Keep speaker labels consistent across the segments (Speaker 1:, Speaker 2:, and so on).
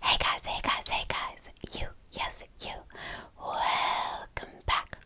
Speaker 1: Hey guys, hey guys, hey guys, you, yes, you, welcome back.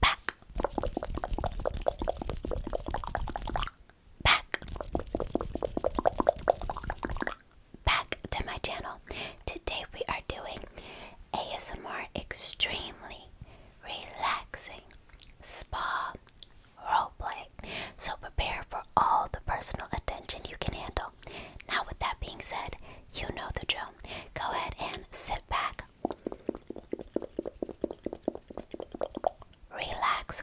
Speaker 1: Back. Back. Back to my channel. Today we are doing ASMR extremely relaxing, spa, role play. So prepare for all the personal attention you can handle. Now, with that being said, you know the drill. Go ahead and sit back, relax,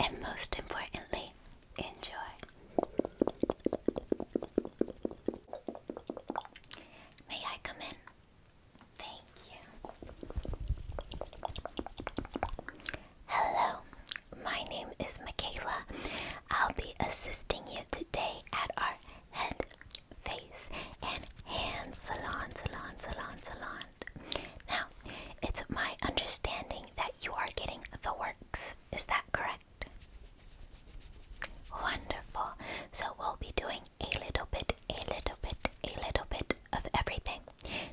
Speaker 1: and most importantly, enjoy. May I come in? Thank you. Hello, my name is Michaela. I'll be assisting you today at our head, face, and hand salon, salon, salon, salon. Now, it's my understanding that you are getting the works. Is that correct? Wonderful. So we'll be doing a little bit, a little bit, a little bit of everything.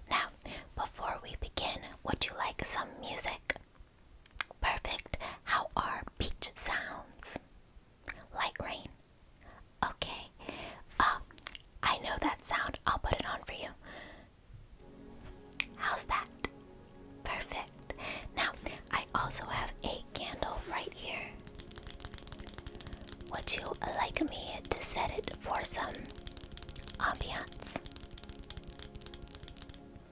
Speaker 1: Now, before we begin, would you like some music? Perfect. How are beach sounds? Light rain. Okay. Uh, I know that sound. I'll put it on for you. How's that? Perfect. Now, I also have a candle right here. Would you like me to set it for some ambiance?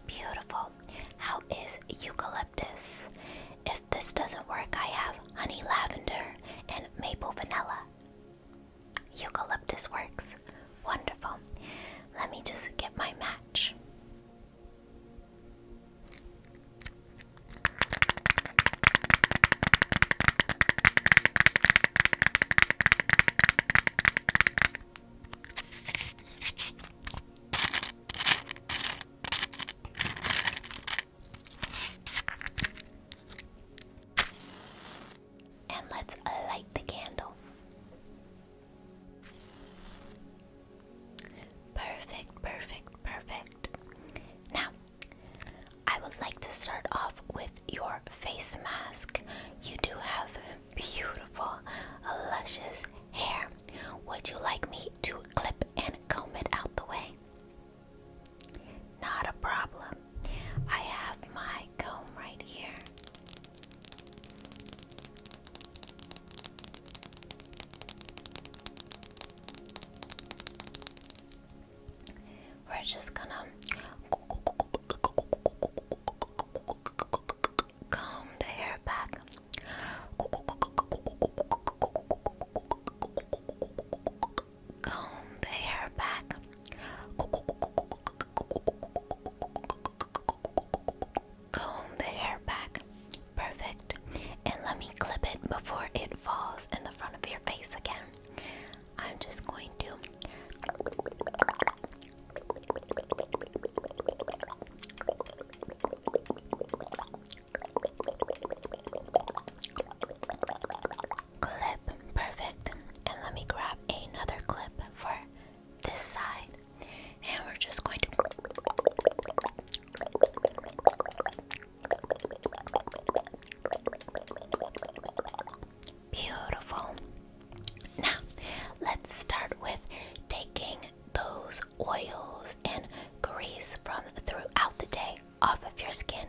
Speaker 1: Beautiful. How is eucalyptus? If this doesn't work, I have honey lavender and maple vanilla. Eucalyptus works. Wonderful. Let me just get my match. And let's light the candle. Perfect, perfect, perfect. Now, I would like to start off with your face mask. You do have beautiful, luscious hair. Would you like me to clip and comb it out the way? Not a problem. I have my comb right here. We're just gonna comb the hair back. Comb the hair back comb the hair back. Perfect. And let me clip it before it falls in the front of your face again. I'm just going to. Clip, perfect. And let me grab another clip for this side and we're just going to beautiful. Now, let's start with taking those oils and grease from throughout the day off of your skin.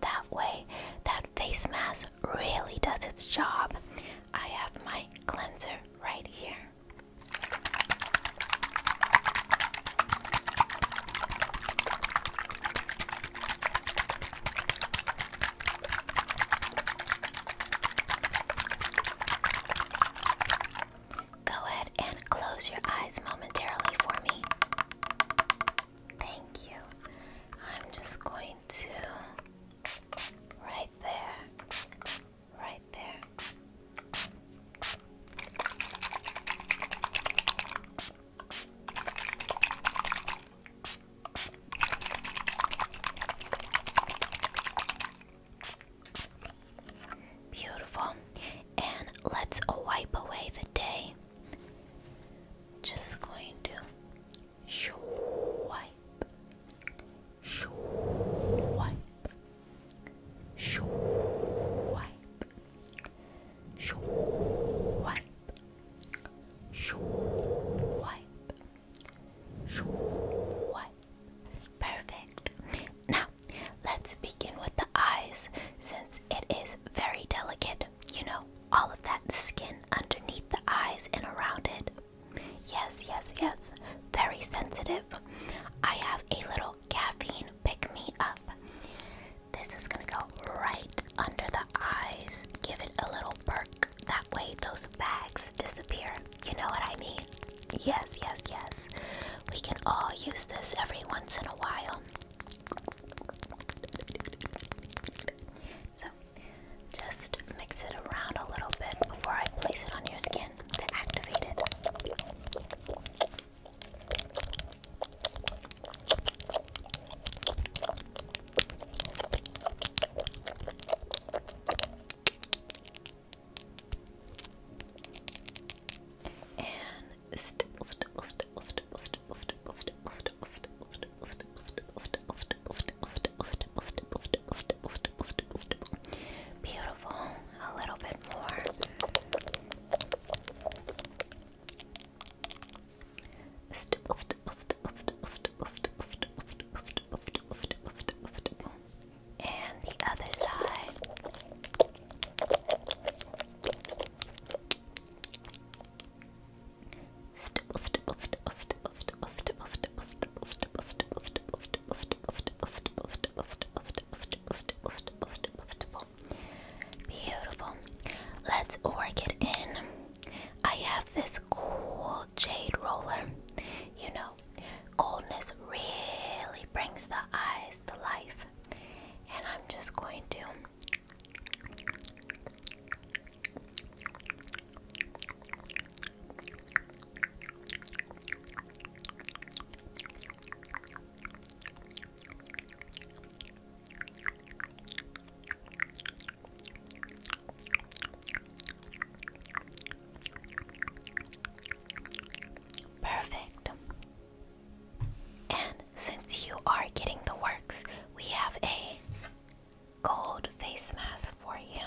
Speaker 1: That way, that face mask really does its job. I have my cleanser right here. Go ahead and close your eyes momentarily for me. Thank you. I'm just going to, right there right there. Beautiful. And let's wipe away the day. Just going to wipe swipe, swipe, swipe, swipe, swipe, swipe. Perfect. Now, let's begin with the eyes since it is very delicate. You know, all of that skin underneath the eyes and around it. Yes, yes, yes. Very sensitive. I have a little caffeine pick me up. This is going to go right under the eyes. Give it a little perk. That way, those bags disappear. You know what I mean? Yes, yes, yes. We can all use this every once in a while. So, just mix it around a little bit before I place it on your skin button And stipple, stipple, stipple, stipple, stipple, stipple, stipple, stipple, stipple, stipple, stipple, stipple, stipple, stipple, stipple, Beautiful. A little bit more. And the other side. Beautiful. Let's work it in. I have this cool jade roller. You know, coldness really brings the eyes to life. And I'm just going to Perfect. And since you are getting the works, we have a gold face mask for you.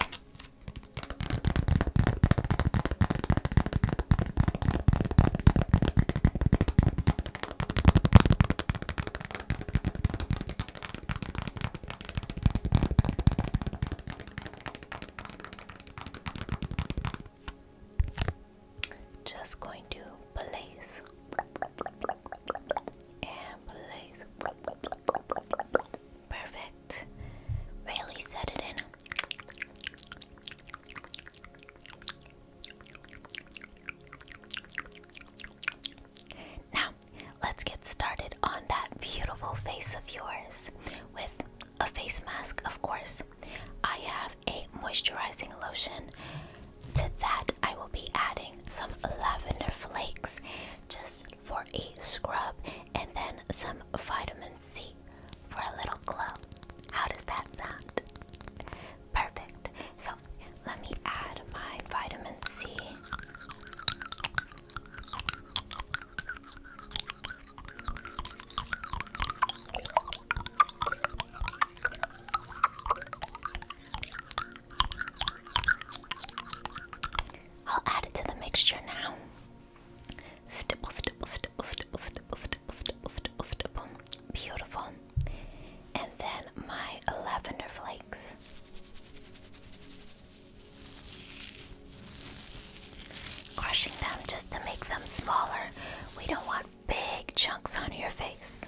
Speaker 1: Just going to place and place Perfect. Really set it in. Now, let's get started on that beautiful face of yours with a face mask, of course. I have a moisturizing lotion. To that, I will be adding some lavender flakes. Just for a scrub, and then some vitamin C for a little glow. How does that sound? Perfect. So let me add my vitamin C. I'll add it to the mixture now. Stipple, stipple, stipple, stipple, stipple, stipple, stipple, stipple, Beautiful. And then my lavender flakes. Crushing them just to make them smaller. We don't want big chunks on your face.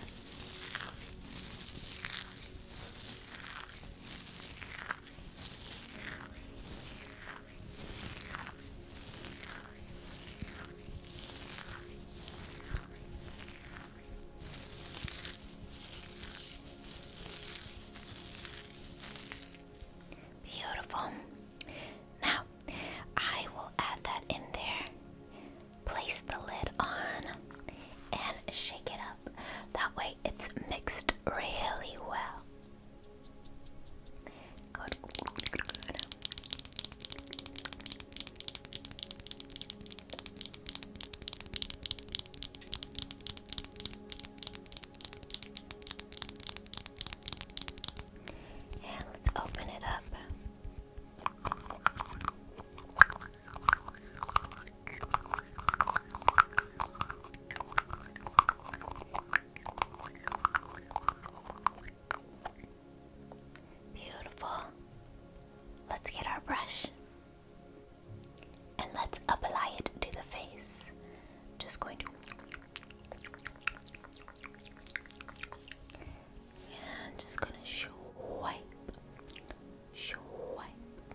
Speaker 1: Beautiful. Now, I will add that in there. Place the lid on and shake it up. That way, it's mixed really well. And let's open it up. Beautiful. Let's get our brush and let's apply it to the face. Just going to and just gonna swipe, swipe,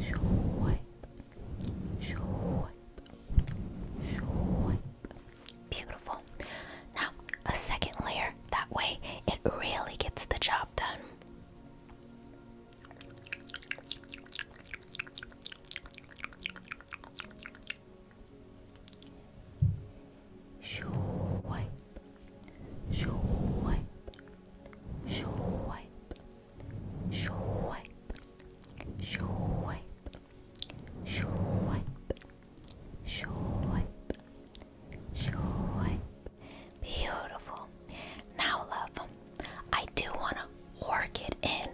Speaker 1: swipe, swipe, swipe. Beautiful. Now, a second layer. That way, it really gets the job done. Swipe, swipe, swipe, wipe, wipe, swipe, wipe, swipe, wipe. Beautiful. Now, love, I do want to work it in.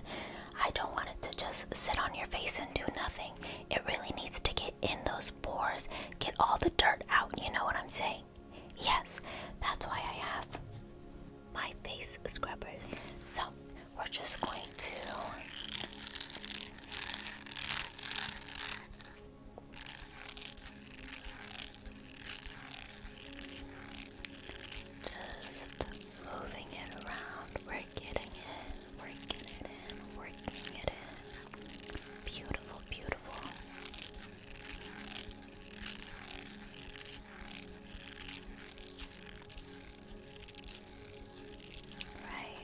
Speaker 1: I don't want it to just sit on your face and do nothing. It really needs to get in those pores, get all the dirt out. You know what I'm saying? Yes, that's why I have my face scrubbers. So we're just going to just moving it around. We're getting it, we're getting it in, working it Beautiful, beautiful. Right here. Right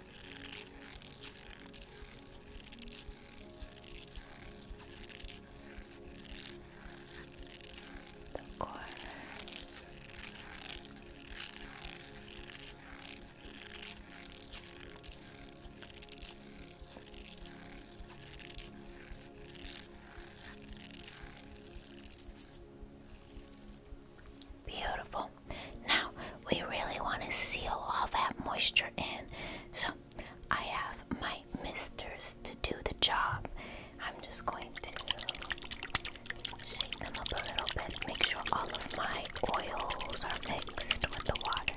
Speaker 1: the corners. Beautiful. Now we really want to seal all that moisture in. So I have my misters to do the job. I'm just going to shake them up a little bit, make sure all of my oils are mixed with the water.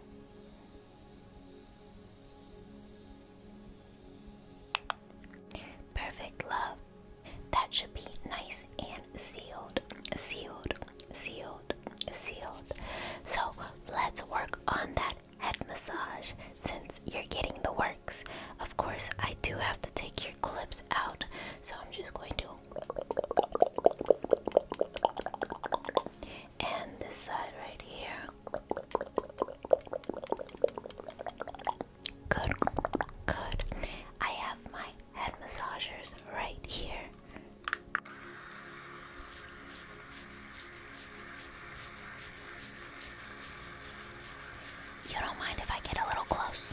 Speaker 1: Perfect love. That should be nice and sealed, sealed, sealed, sealed. So let's work on that head massage since you're getting the works. Of course, I do have to take your clips out, so I'm just going to and this side right here. Good, good. I have my head massagers right here. You don't mind if I get a little close?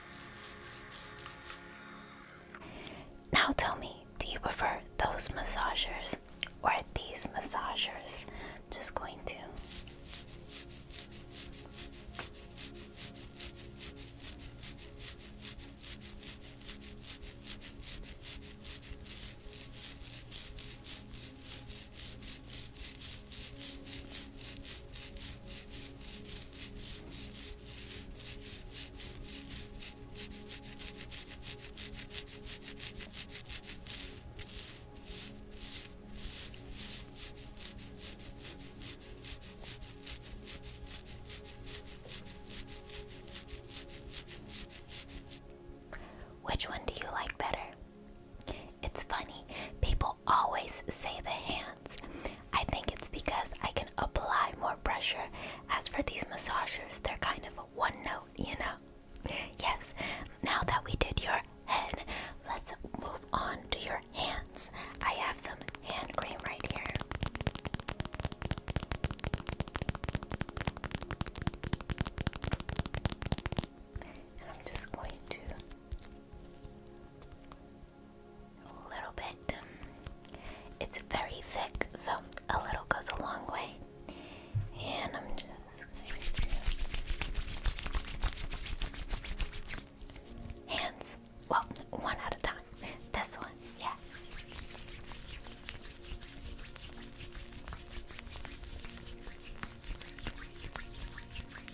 Speaker 1: Now tell me, do you prefer those massagers or these massagers? just going to which one do you like better? It's funny, people always say the hands, I think it's because I can apply more pressure. As for these massagers, they're kind of a one note, you know? Yes, now that we did your head, let's move on to your hands. I have some hand cream right here. I'm just going to a little bit. It's very thick, so a little goes a long way. And I'm just Hands. Well, one at a time. This one, yes.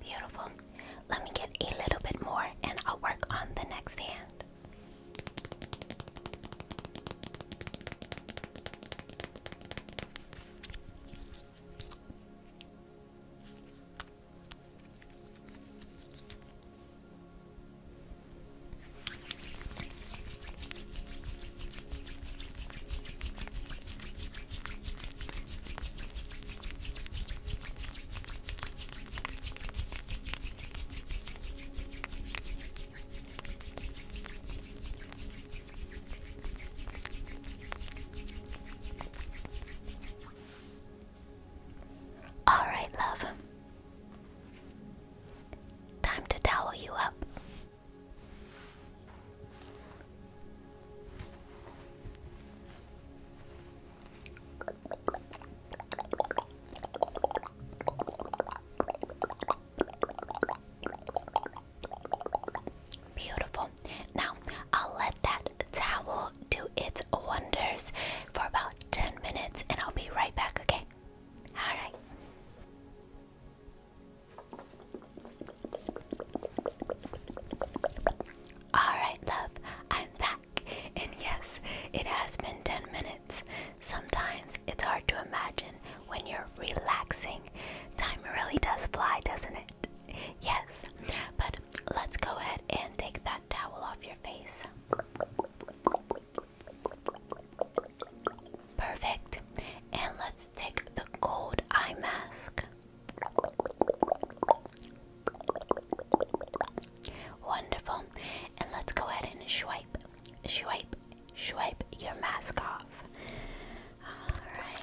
Speaker 1: Beautiful. Let me get a little bit more and I'll work on the next hand. All right, love. Time to towel you up. Beautiful. Now I'll let that towel do its wonders for about 10 minutes and I'll be right back, okay? Alright. Alright, love, I'm back. And yes, it has been 10 minutes. Sometimes it's hard to imagine when you're relaxing. Time really does fly, doesn't it? Yes, but let's go ahead and take that towel off your face. Perfect. And let's take the cold eye mask. Wonderful. And let's go ahead and swipe, swipe, swipe your mask off. Alright.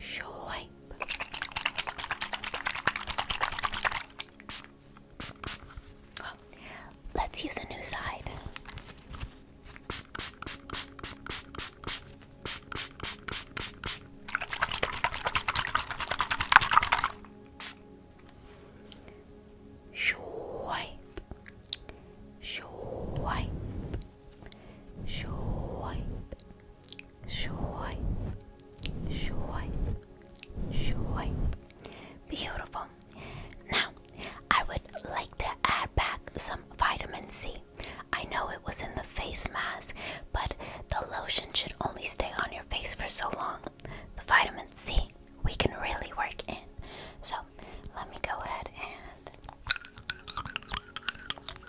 Speaker 1: swipe. Well, let's use a new side. Swipe, swipe, swipe, Sure. Sure. Sure. Beautiful. Now, I would like to add back some vitamin C. I know it was in the face mask, but the lotion should only stay on your face for so long. The vitamin C we can really work in. So, let me go ahead and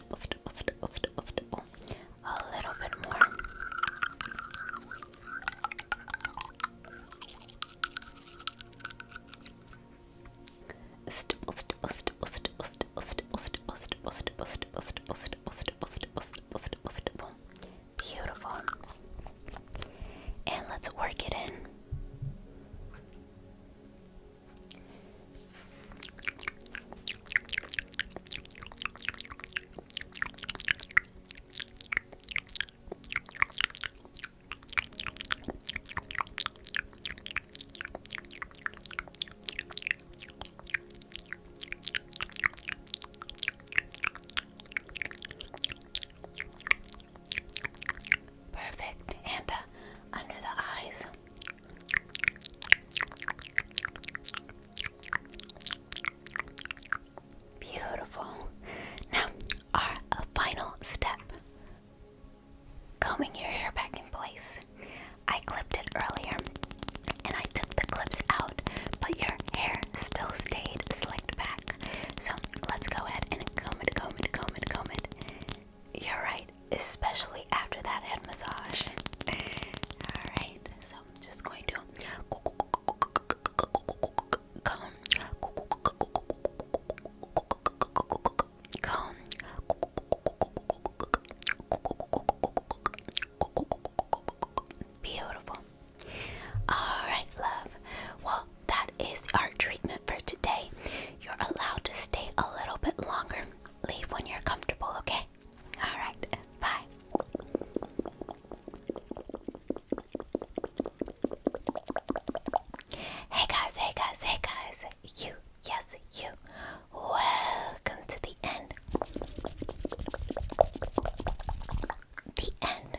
Speaker 1: A little bit more. Beautiful. And let's work it in. Perfect. And uh, under the eyes, Beautiful. Now, our uh, final step combing your hair back in place. I clipped it earlier and I took the clips out, but your hair still stayed slicked back. So let's go ahead and comb it, comb it, comb it, comb it. You're right, especially after that head massage. Alright, so I'm just going to comb, comb, beautiful. All right, love. Well, that is our treatment for today. You're allowed to stay a little bit longer. Leave when you're comfortable, okay? All right, bye. Hey guys, hey guys, hey guys. You, yes, you. Welcome to the end. The end